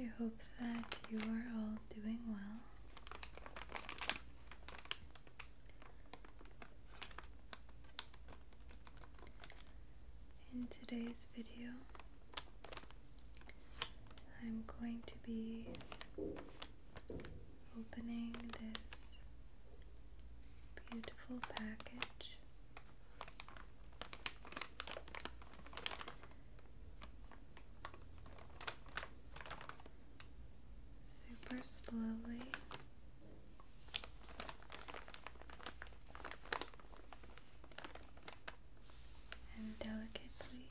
I hope that you are all doing well. In today's video, I'm going to be opening this Beautiful package. Super slowly. And delicately.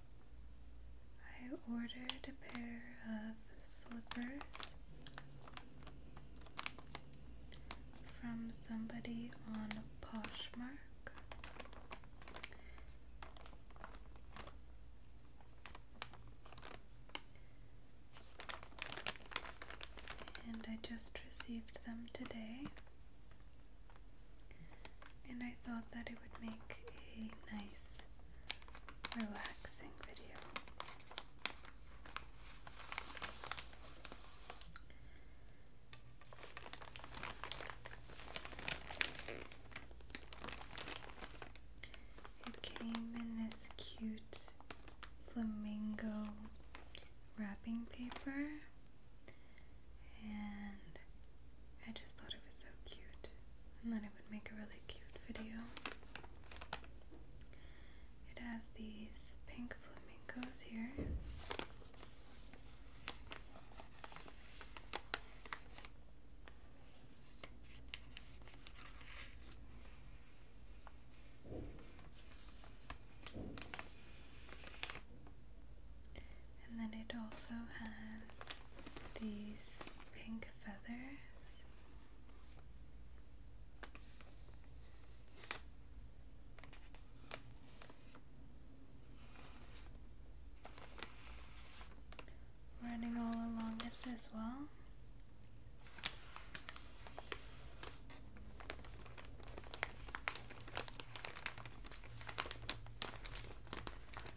I ordered a pair of slippers from somebody on Poshmark. And I just received them today and I thought that it would make a nice, relaxing video. It came in this cute flamingo wrapping paper and I just thought it was so cute and that it would make a really cute video. It has these pink flamingos here. And then it also has these pink feathers. Running all along it as well.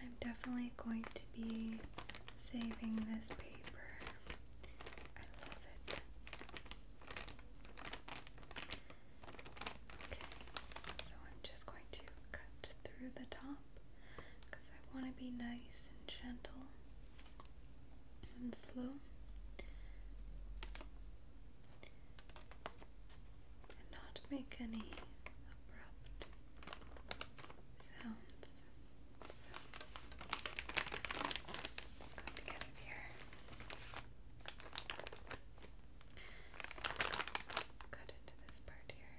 I'm definitely going to be saving this paper. I love it. Okay, so I'm just going to cut through the top because I want to be nice and gentle and slow and not make any abrupt sounds. So let's get it here. Cut into this part here.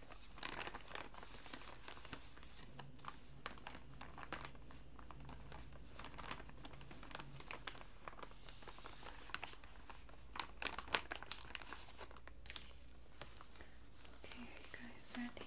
Okay, are you guys ready?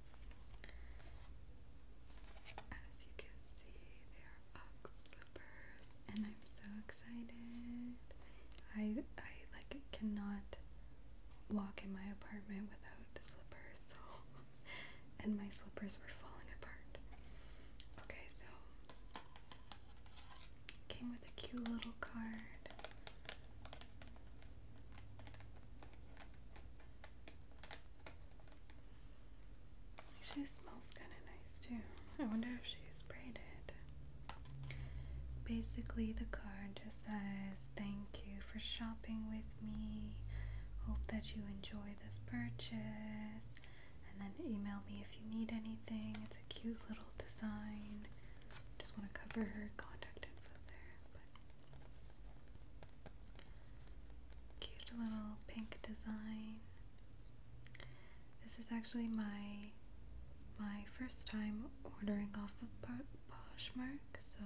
as you can see, they are Ugg slippers, and I'm so excited. I I like cannot walk in my apartment without the slippers, so and my slippers were falling apart. Okay, so came with a cute little card. She smells kind of nice too. I wonder if she sprayed it. Basically, the card just says, Thank you for shopping with me. Hope that you enjoy this purchase. And then email me if you need anything. It's a cute little design. Just want to cover her contact info there. Cute little pink design. This is actually my my first time ordering off of Poshmark, so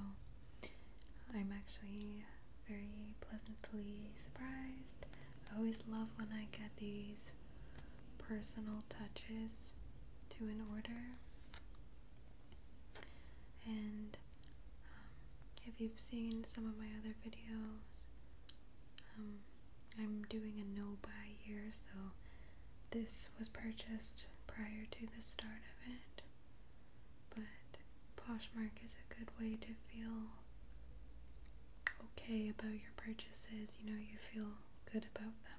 I'm actually very pleasantly surprised. I always love when I get these personal touches to an order. And um, if you've seen some of my other videos, um, I'm doing a no buy year, so this was purchased prior to the start of it. But Poshmark is a good way to feel okay about your purchases, you know, you feel good about them.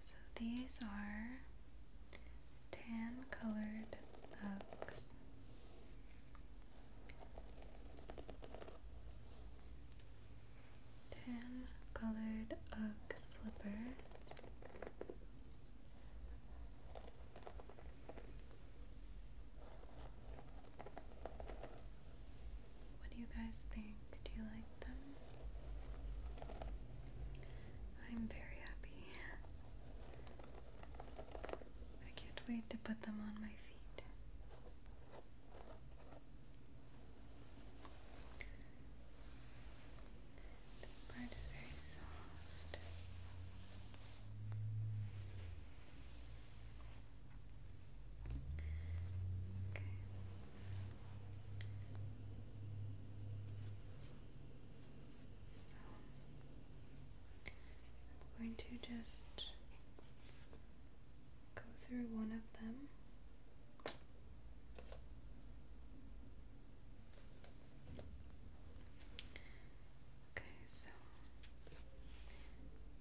So these are tan colored oaks. Tan colored oak slippers. What do you guys think? Do you like them? I'm very happy. I can't wait to put them on my feet. This part is very soft. I'm going to just go through one of them. Okay, so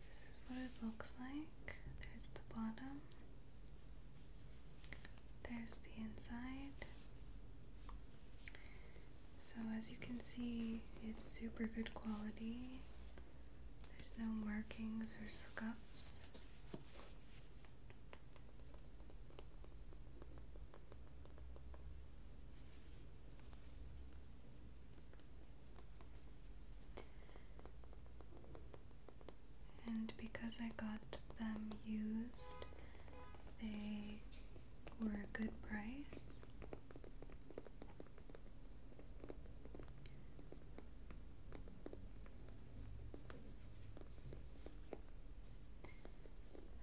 this is what it looks like. There's the bottom. There's the inside. So, as you can see, it's super good quality. There's no markings or scuffs. And because I got them used, they were a good price.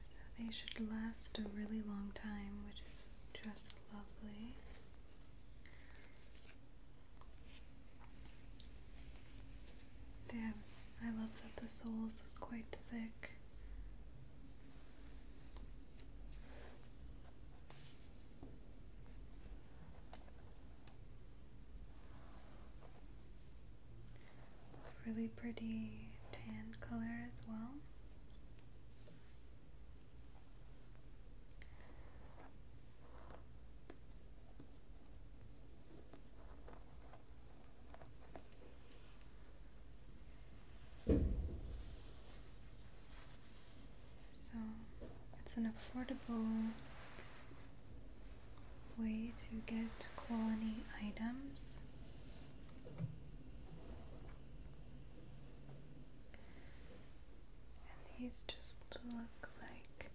So they should last a really long time, which is just lovely. Damn, I love that the sole's quite thick. It's really pretty tan color as well. So it's an affordable way to get quality items. And these just look like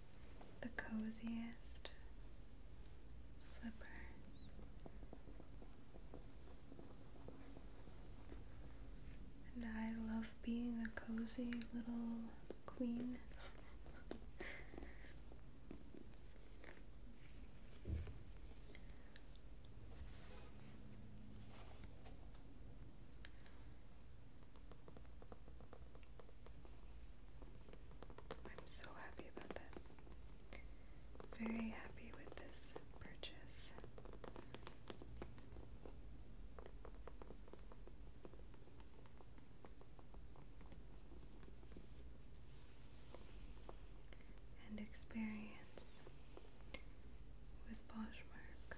the coziest slippers. And I love being a cozy little queen. I'm so happy about this. Very happy with this purchase. And experience with Poshmark.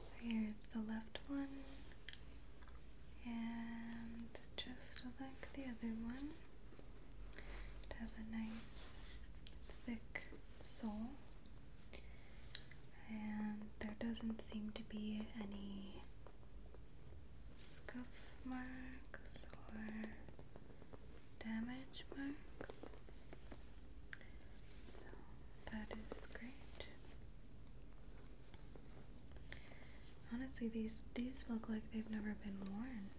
So here's the left one, and just like the other one, it has a nice thick sole, and there doesn't seem to be any scuff marks or damage marks. So that is great. Honestly, these these look like they've never been worn.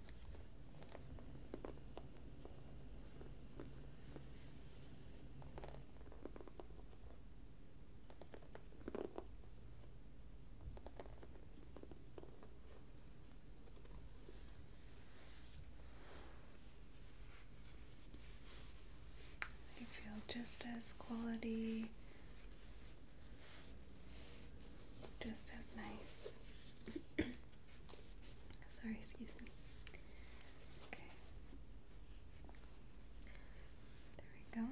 I feel just as quality, just as nice. Sorry, excuse me. Okay. There we go.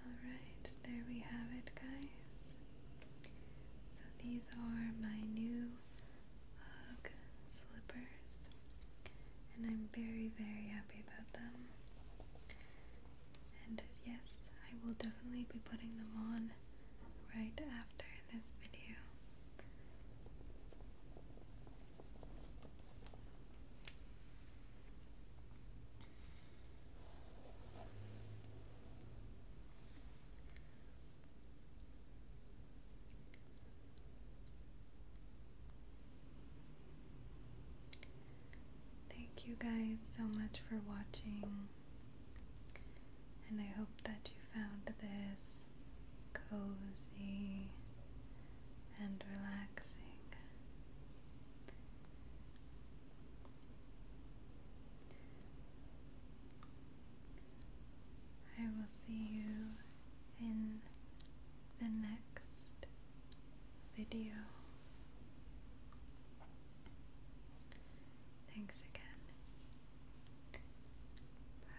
Alright, there we have it, guys. So these are my new UGG slippers, and I'm very, very happy about them. And yes, I will definitely be putting them on right after this video. Thank you guys so much for watching, and I hope that you found this cozy and relaxing. I will see you in the next video. Thanks again. Bye.